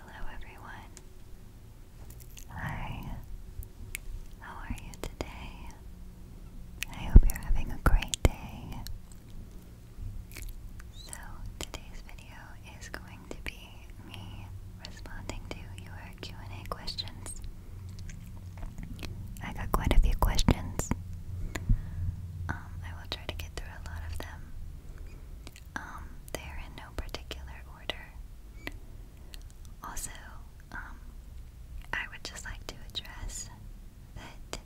Hello everyone. Hi. How are you today? I hope you're having a great day. So, today's video is going to be me responding to your Q&A questions. I got quite a few questions. Um, I will try to get through a lot of them. Um, they're in no particular order. Also, um, I would just like to address that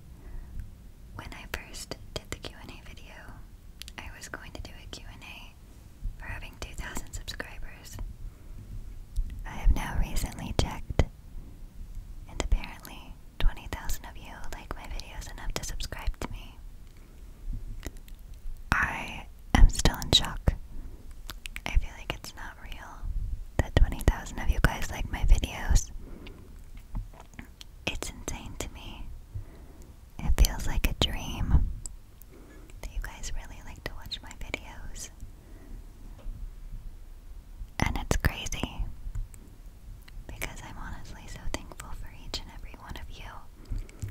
when I first did the Q&A video, I was going to do a Q&A for having 2,000 subscribers. I have now recently checked, and apparently 20,000 of you like my videos enough to subscribe to me, I am still in shock. I feel like it's not real that 20,000 of you guys like my videos. It's insane to me. It feels like a dream you guys really like to watch my videos. And it's crazy because I'm honestly so thankful for each and every one of you.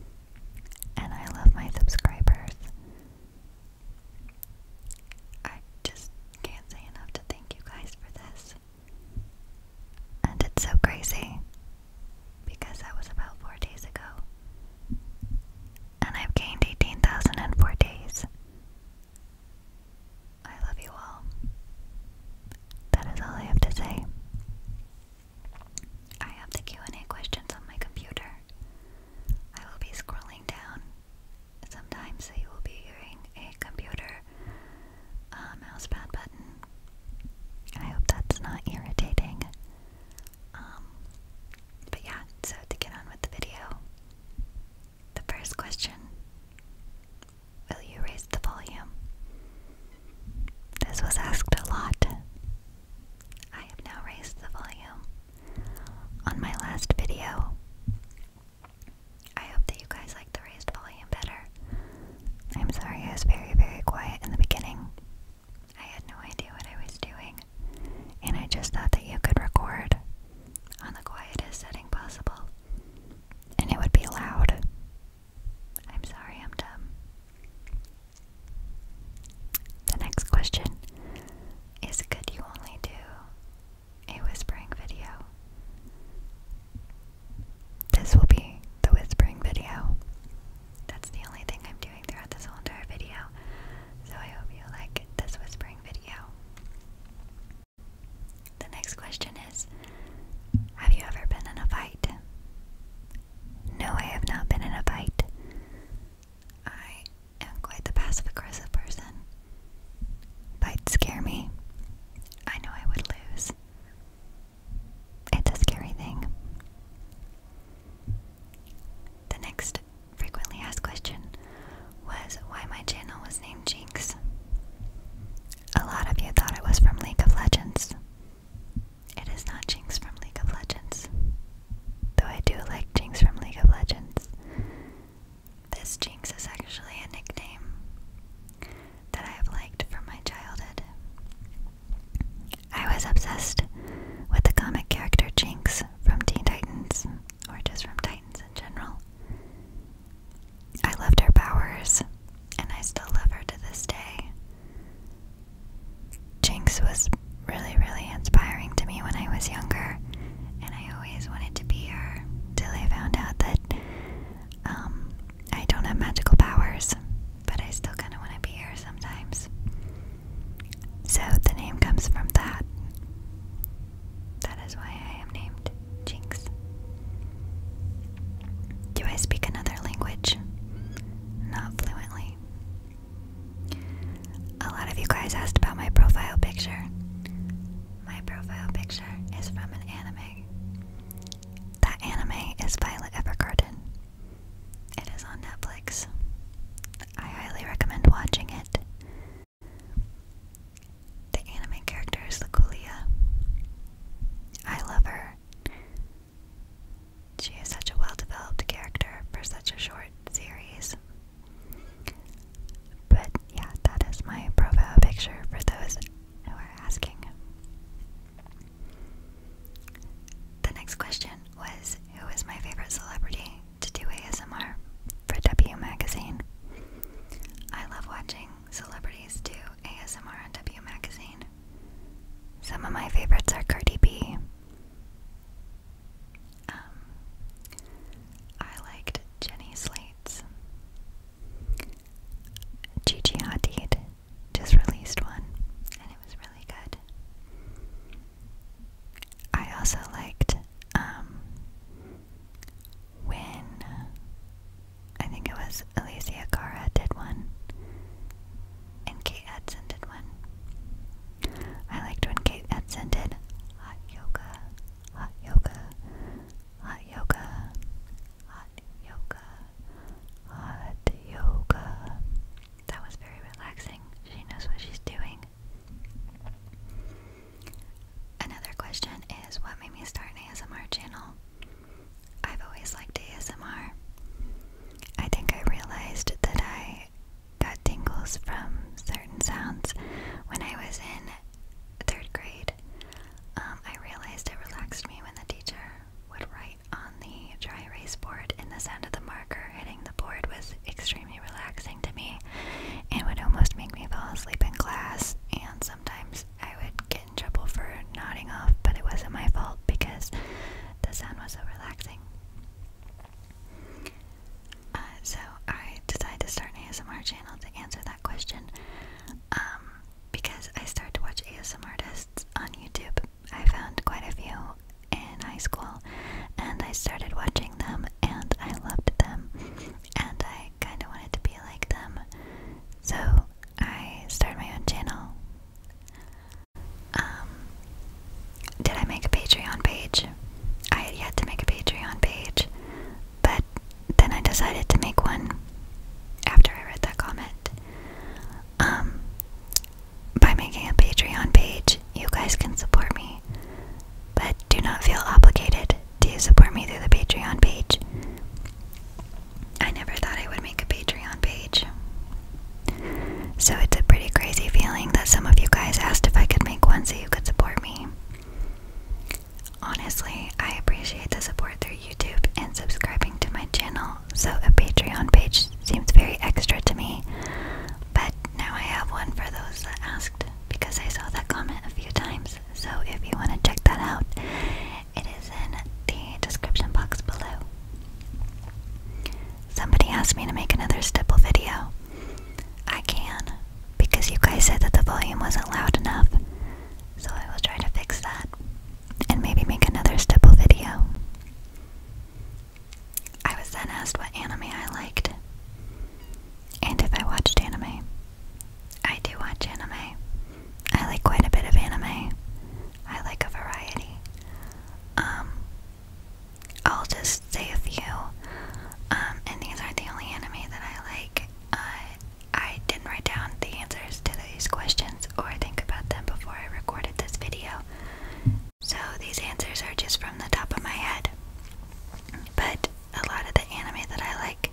And I love my subscribers. I just can't say enough to thank you guys for this. And it's so crazy because that was about four days ago. And I've gained 18,004 days. I love you all that is all I have to say. I have the Q&A questions on my computer. I will be scrolling down. Sometimes you will be hearing a computer uh, mousepad button. I hope that's not irritating. Um, but yeah, so to get on with the video, the first question Will you raise the volume? This was asked a lot. I have now raised the volume. On my last video, I hope that you guys like the raised volume better. I'm sorry, I was very, very quiet in the beginning. I had no idea what I was doing, and I just thought that you could record on the quietest setting possible, and it would be loud. I'm sorry, I'm dumb. The next question is Could you only do a whispering video? This will be the whispering video. That's the only thing I'm doing throughout this entire video. So I hope you like this whispering video. The next question is Have you ever been in a fight? No, I have not been in a fight. I am quite the passive aggressive person. Fights scare me. I know I would lose. It's a scary thing. The next frequently asked question was why my channel was named Jinx. A lot of you thought it was from League of Legends. It is not Jinx from League of Legends. Though I do like Jinx from League of Legends. This Jinx is actually a nickname that I have liked from my childhood. I was obsessed with the comic character Jinx from Teen Titans, or just from Titans in general. I loved her powers, and I still love her to this day. Jinx was really, really inspiring to me when I was younger, and I always wanted to be her till I found out that um, I don't have magical powers, but I still kind of want to be her sometimes. So the name comes from that. That is why I am named Jinx. Do I speak another language? Not fluently. A lot of you guys asked about my profile picture. My profile picture is from an anime. That anime is Violet Evergarden. It is on Netflix. I highly recommend watching it. The anime character is Luculia. I love her. She is such a well developed character for such a short series. But yeah, that is my profile picture for those who are asking. The next question was Who is my favorite celebrity to do ASMR for W Magazine? I love watching celebrities do ASMR on W Magazine. Some of my favorites are Cardi B. Um, liked Jenny Slates. Gigi Hadid just released one, and it was really good. I also liked um, when I think it was Alicia Cara did one and Kate Edson did one. I liked when Kate Edson did hot yoga, hot yoga, hot yoga, hot yoga, hot yoga. That was very relaxing. She knows what she's doing. Another question is what made me start an ASMR channel? I've always liked ASMR. I think I realized that I got tingles from certain sounds when I was in third grade. Um, I realized it relaxed me when the teacher would write on the dry erase board, and the sound of the marker hitting the board was extremely relaxing to me and would almost make me fall asleep in class. And sometimes I would get in trouble for nodding off, but it wasn't my fault because the sound was so relaxing. Uh, so I decided to start an ASMR channel to answer that question um, because I started to watch ASMR artists on YouTube. I found quite a few in high school and I started watching them and I loved them and I I kind of wanted to be like them, so I started my own channel. Um, did I make a Patreon page? I had yet to make a Patreon page, but then I decided to make one after I read that comment. Um, by making a Patreon page, you guys can support me but do not feel obligated to support me through the Patreon page. I never thought I would make a Patreon page. So it's a pretty crazy feeling that some of you guys asked if I could make one so you could support me. Honestly, I appreciate the support through YouTube and subscribing to my channel, so a Patreon page seems very extra to me. But now I have one for those that asked because I saw that comment a few times. So if you want to check that out, it is in the description box below. Somebody asked me to make another stipple video. I can, because you guys said that the volume wasn't loud enough. So I will try to fix that and maybe make another stipple video. I was then asked what anime I liked. And if I watched anime, I do watch anime. I like quite a bit of anime. I like a variety. Um, I'll just say a few. Um, and these aren't the only anime that I like. Uh, I didn't write down the answers to these questions or think about them before I recorded this video. So these answers are just from the top of my head. But a lot of the anime that I like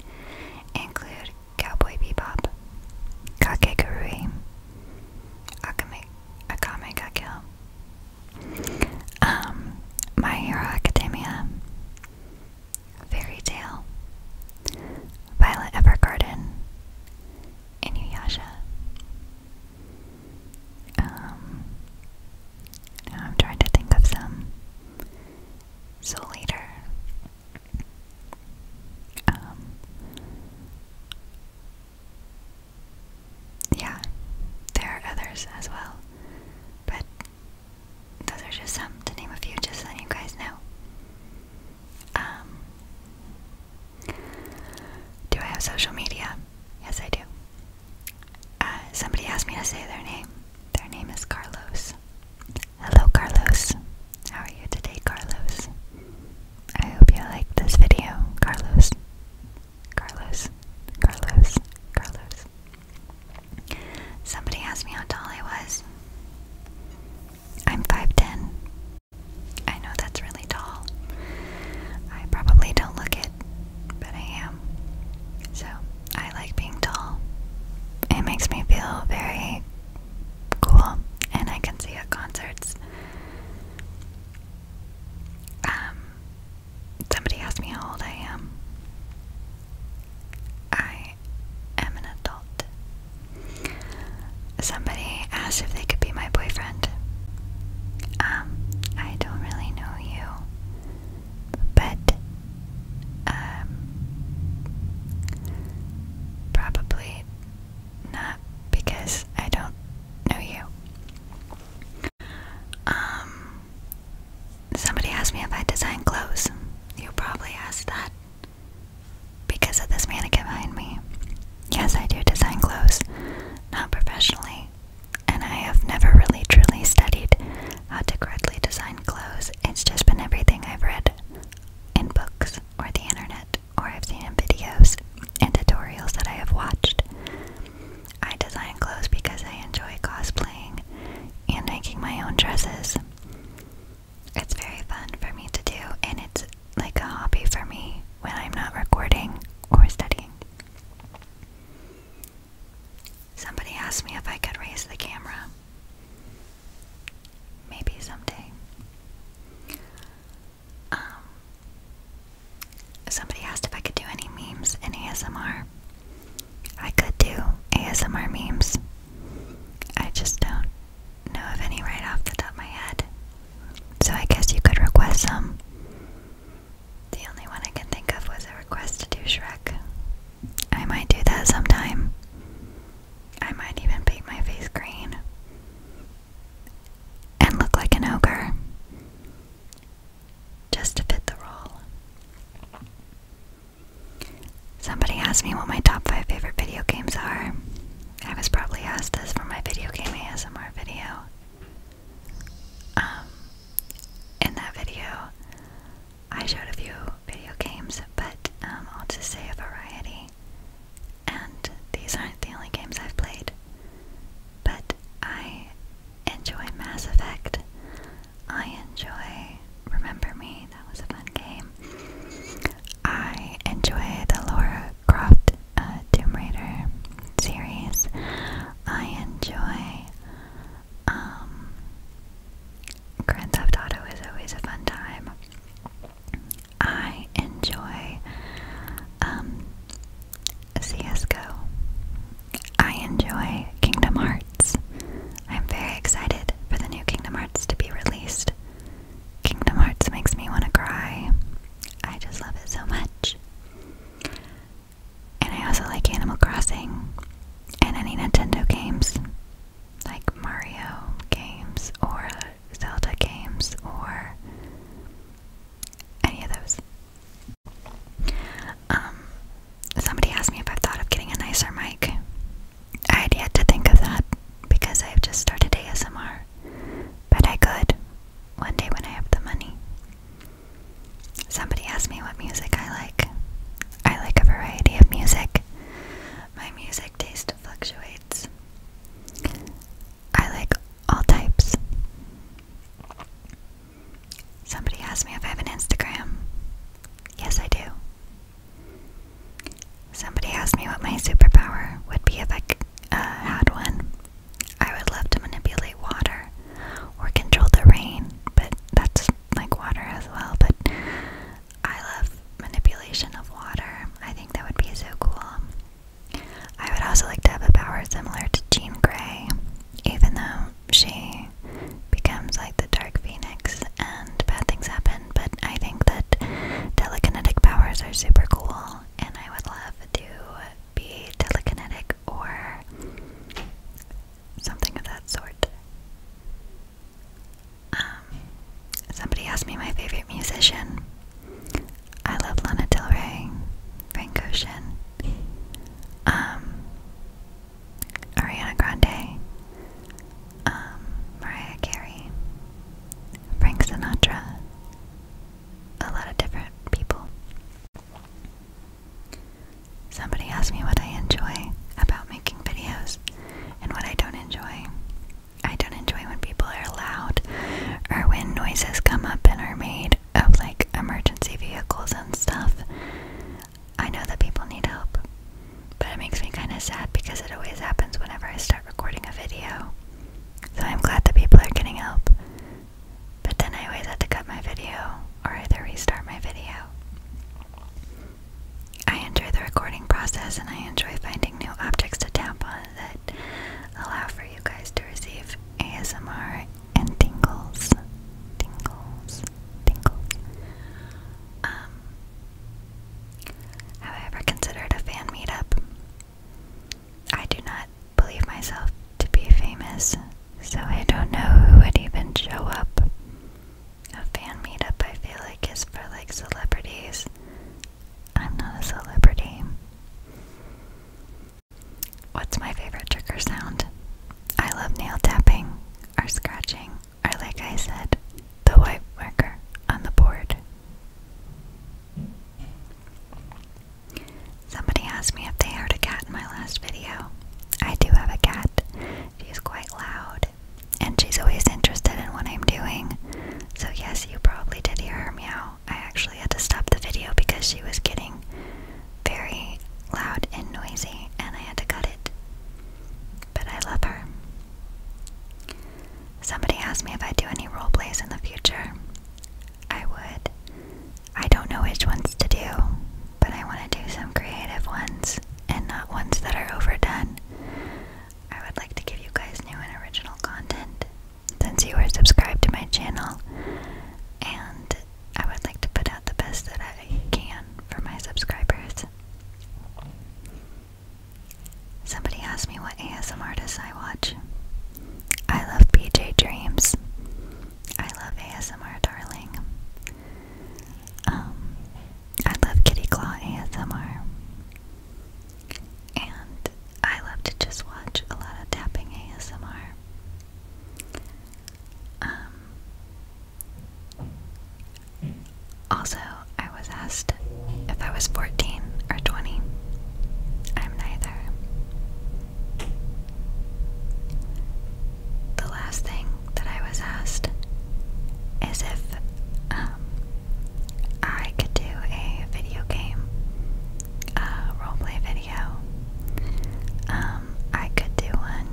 include Cowboy Bebop, Kakegurui, Akame, Akame ga Kill, um, My Hero Academia, Fairy Tale, Violet Evergarden, Inuyasha. Um, I'm trying to think of some. So later, um, yeah, there are others as well, but those are just some to name a few, just so you guys know. Um, do I have social media? Yes, I do. Uh, somebody asked me to say their name. Their name is Carlos. Hello, Carlos. How are you today, Carlos? I hope you like this video, Carlos. Carlos, Carlos, Carlos. Somebody asked me how tall I was. I'm 5'10. I know that's really tall. I probably don't look it, but I am. So I like being tall. It makes me feel very cool, and I can see at concerts. Um, somebody asked me how old I am. I am an adult. Somebody asked if they could be my boyfriend. Um, I don't really know you but um, probably not because I don't know you. Um, somebody asked me if I design clothes. You probably asked that because of this mannequin behind me. Yes, I do design clothes, not professionally, and I have never really truly studied how to correctly design clothes. It's just been everything I've read in books or the internet or I've seen in videos and tutorials that I have watched. I design clothes because I enjoy cosplaying and making my own dresses. It's very fun for me to do, and it's like a hobby for me when I'm not recording or studying. Somebody asked me if I could raise the camera. Maybe someday. Um, somebody asked if I could do any memes in ASMR. I could do ASMR memes. I just don't know of any right off the top of my head. So I guess you could request some. The only one I can think of was a request to do Shrek. I might do that sometime. I might even paint my face green and look like an ogre just to fit the role. Somebody asked me what my top 5 favorite video games are. I was probably asked this for my video game ASMR video. Um, in that video, I showed a few video games, but um, I'll just say a variety. And these aren't the only games I've played, but I enjoy Mass Effect. I enjoy Remember Me, that was a fun game. I enjoy the Laura Croft uh, Tomb Raider series. I enjoy. Um, Grand Theft Auto is always a fun time. I enjoy um, CSGO. I enjoy Kingdom Hearts. I'm very excited for the new Kingdom Hearts to be released. Kingdom Hearts makes me want to cry. I just love it so much. And I also like Animal Crossing and any Nintendo games, like Mario games or Zelda games or any of those. Um, somebody asked me if I've thought of getting a nicer mic. I had yet to think of that because I've just started ASMR, but I could one day when I have the money. Somebody asked me what music I like. I like a variety of music. My music taste fluctuates. I like all types. Somebody asked me if I have an Instagram. Yes, I do. Somebody asked me what my superpower would be if I uh, had one. I would love to manipulate water or control the rain, but that's like water as well. But I love manipulation of water. I think that would be so cool. I would also like to have a power similar to Jean Grey, even though she becomes like the Dark Phoenix and bad things happen. But I think that telekinetic powers are super cool, and I would love to be telekinetic or something of that sort. Um, somebody asked me my favorite musician. I love Lana Del Rey, Frank Ocean, um, Ariana Grande, um, Mariah Carey, Frank Sinatra, a lot of different people. Somebody asked me what I enjoy about making videos and what I don't enjoy. I don't enjoy when people are loud or when noises come up and are made of like emergency vehicles and stuff. I know that people need help, but it makes me kind of sad because it always happens whenever I start recording a video. So I'm glad the people are getting help. But then I always had to cut my video or either restart my video. I enjoy the recording process and I enjoy finding new objects to tap on that allow for you guys to receive ASMR and tingles. Tingles. Tingles. Um, have I ever considered a fan meetup? I do not believe myself to be famous, so I don't know who would even show up. A fan meetup, I feel like, is for like celebrities. I'm not a celebrity. What's my favorite trigger sound? I love nail tapping, or scratching, or like I said, the white marker on the board. Somebody asked me if they heard a cat in my last video. I do have a cat. She's quite loud, and she's always interested in what I'm doing. So, yes, you probably did hear her meow. I actually had to stop the video because she was getting very loud and noisy, and I had to cut it. But I love her. Somebody asked me if I do any role plays in the future. I would. I don't know which ones to do, but I want to do some creative ones and not ones that are overdone. I would like to give you guys new and original content since you are subscribed to my channel, and I would like to put out the best that I can for my subscribers. Somebody asked me what ASMR artists I watch. I love PJ Dreams. I love ASMR Darling. Um, I love Kitty Claw ASMR. And I love to just watch a lot of tapping ASMR. Um, also, I was asked if I was 14 or 20. I'm neither. The last thing that I was asked is if um, I could do a video game, a roleplay video. Um, I could do one.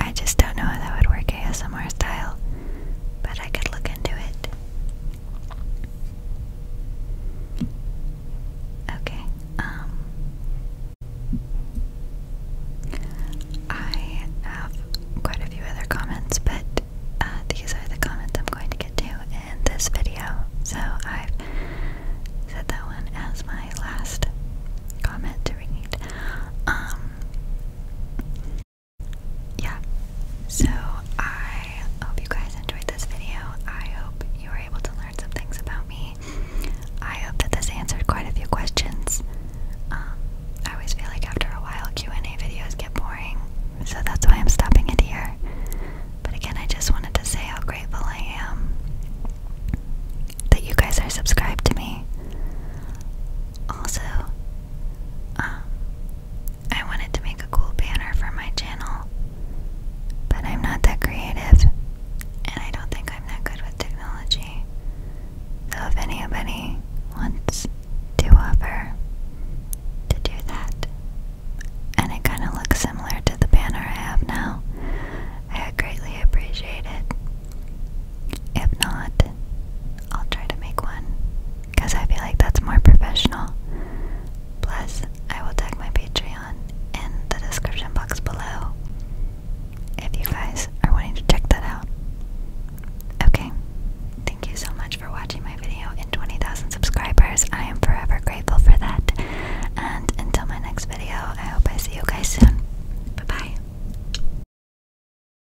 I just don't know how that would work ASMR style, but I could look into it. Okay, um I have quite a few other comments, but uh, these are the comments I'm going to get to in this video. So I've set that one as my last comment to read. Um, yeah, so I hope you guys enjoyed this video. I hope you were able to learn some things about me. I hope that this answered quite a few questions. Um, I always feel like after a while Q&A videos get boring, so that's why I'm stopping it here. But again, I just wanted to say how grateful I am that you guys are subscribed to me. Also, um, I wanted to make a cool banner for my channel, but I'm not that creative, and I don't think I'm that good with technology. So, if anybody wants to offer to do that, and it kind of looks similar to the banner I have now, I would greatly appreciate it. If not, I'll try to make one because I feel like that's more professional. Plus, I will tag my Patreon in the description box below if you guys are wanting to check that out. Okay, thank you so much for watching my video and 20,000 subscribers. I am forever grateful for that. And until my next video, I hope I see you guys soon. bye.